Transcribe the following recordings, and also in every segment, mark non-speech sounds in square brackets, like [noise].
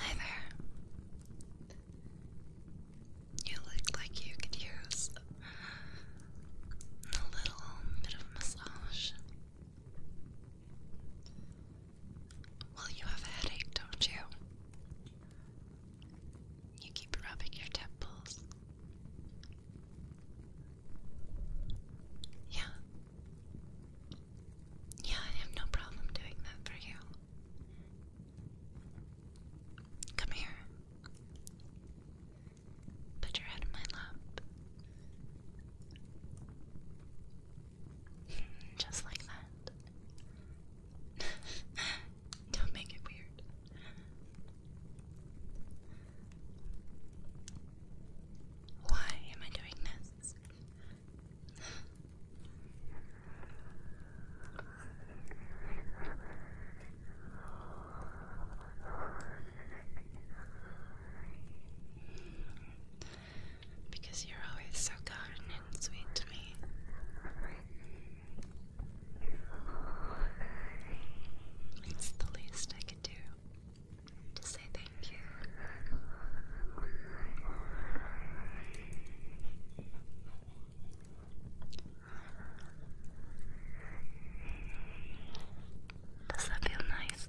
Hi there. You look like you could use a little bit of massage. Well, you have a headache, don't you? You keep rubbing your temples. Yeah. Yeah, I have no problem doing that for you. Come here. Put your head in my lap. [laughs] Just like that. [laughs] Don't make it weird. Why am I doing this? Because you're always so kind and sweet to me. It's the least I could do to say thank you. Does that feel nice?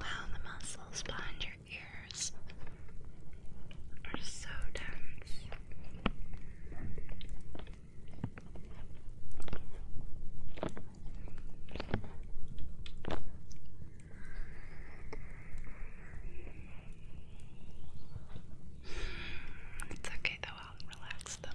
Wow, the muscles behind ears are so dense. It's okay though, I'll relax them.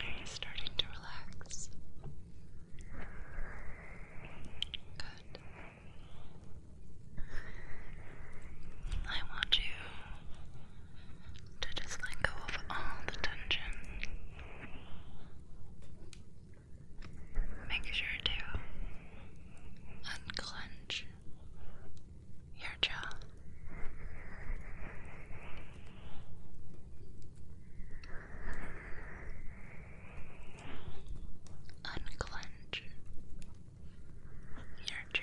Are you starting to relax? Good. I want you to just let go of all the tension. Make sure to unclench your jaw. Unclench your jaw.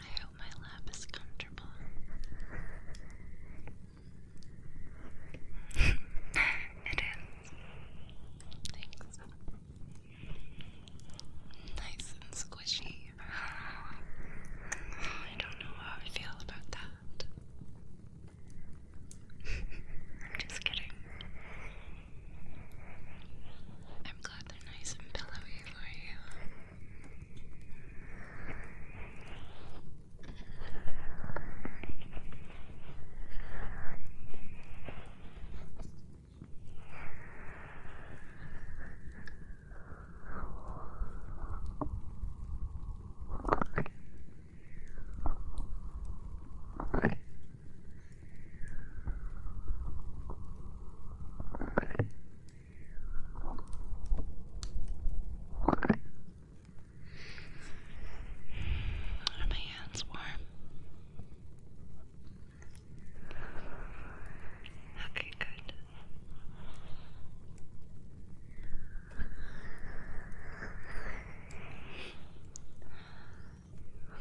I hope my lap is comfortable. [laughs] it is. Thanks. Nice and squishy. I don't know how I feel about that. [laughs] I'm just kidding. I'm glad they're nice and pillowy for you. Are my hands warm? Okay, good.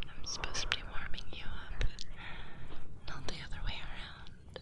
I'm supposed to be warming you up, not the other way around.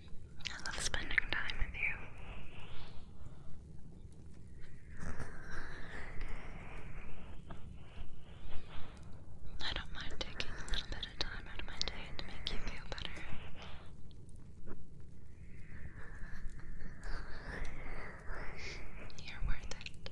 I love spending time with you. I don't mind taking a little bit of time out of my day to make you feel better. You're worth it.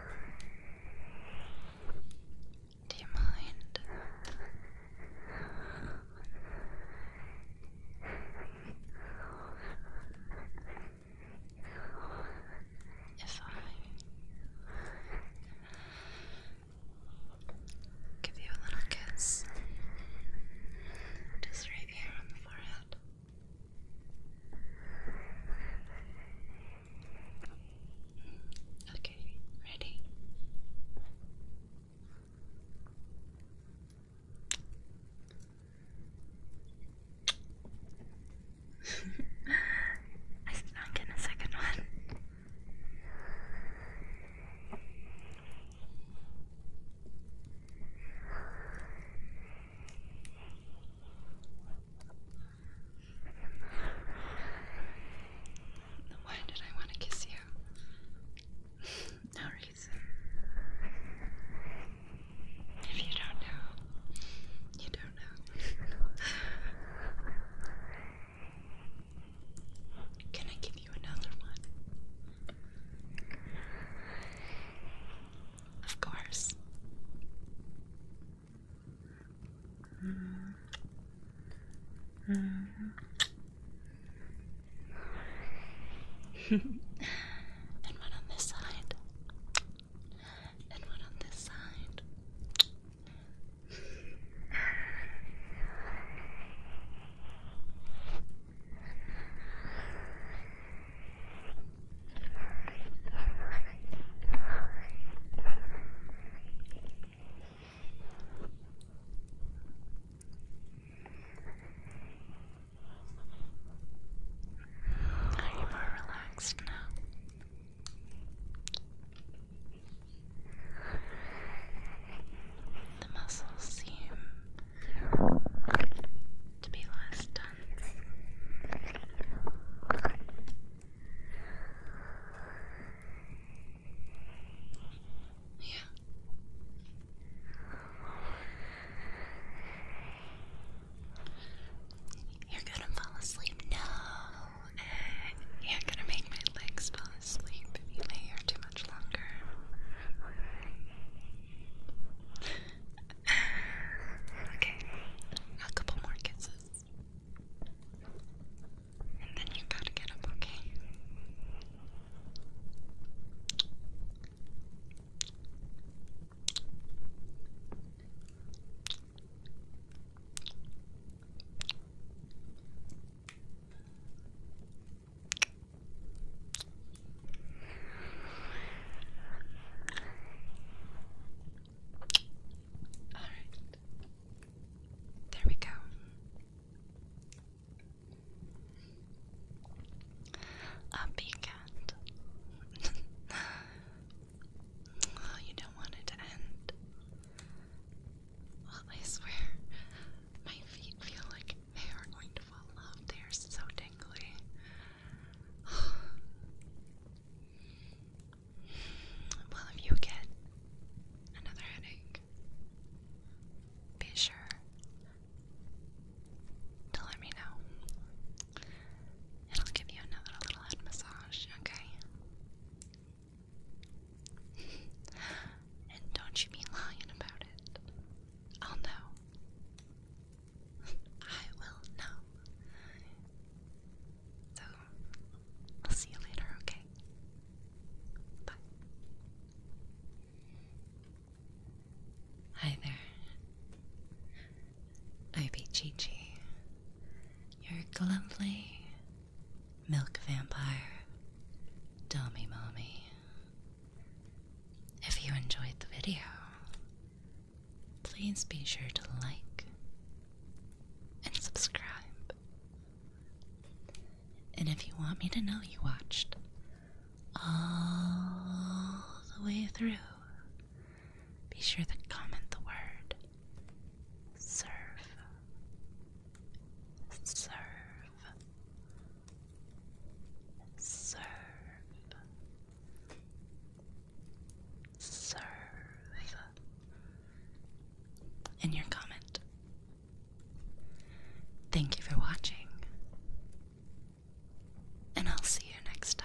Do you mind? If I give you a little kiss, just right here on the forehead. Okay, ready? [laughs] I snuck in a second one. Why did I want to kiss you? no reason. If you don't know, you don't know. Can I give you another one? Of course. [laughs] and one on this side. And one on this side. Are you more relaxed now? The muscles seem to be last done. Yeah. You're gonna fall asleep. No. Eh, you're gonna make my legs fall asleep if you lay here too much longer. Okay, a couple more kisses. And then you gotta get up, okay? All right. There we go. A cat. oh, [laughs] you don't want it to end. I swear, my feet feel like they are going to fall off. They are so tingly. [sighs] well, if you get another headache, be sure to let me know. And will give you another little head massage, okay? [laughs] and don't you be lying about it. I'll know. I will know. So, I'll see you later, okay? Bye. Hi there. I be Chi-Chi, your lovely milk vampire, dummy mommy. If you enjoyed the video, please be sure to like and subscribe. And if you want me to know you watched all the way through, be sure to comment the word serve. Serve serve, serve in your comment. Thank you for watching, and I'll see you next time.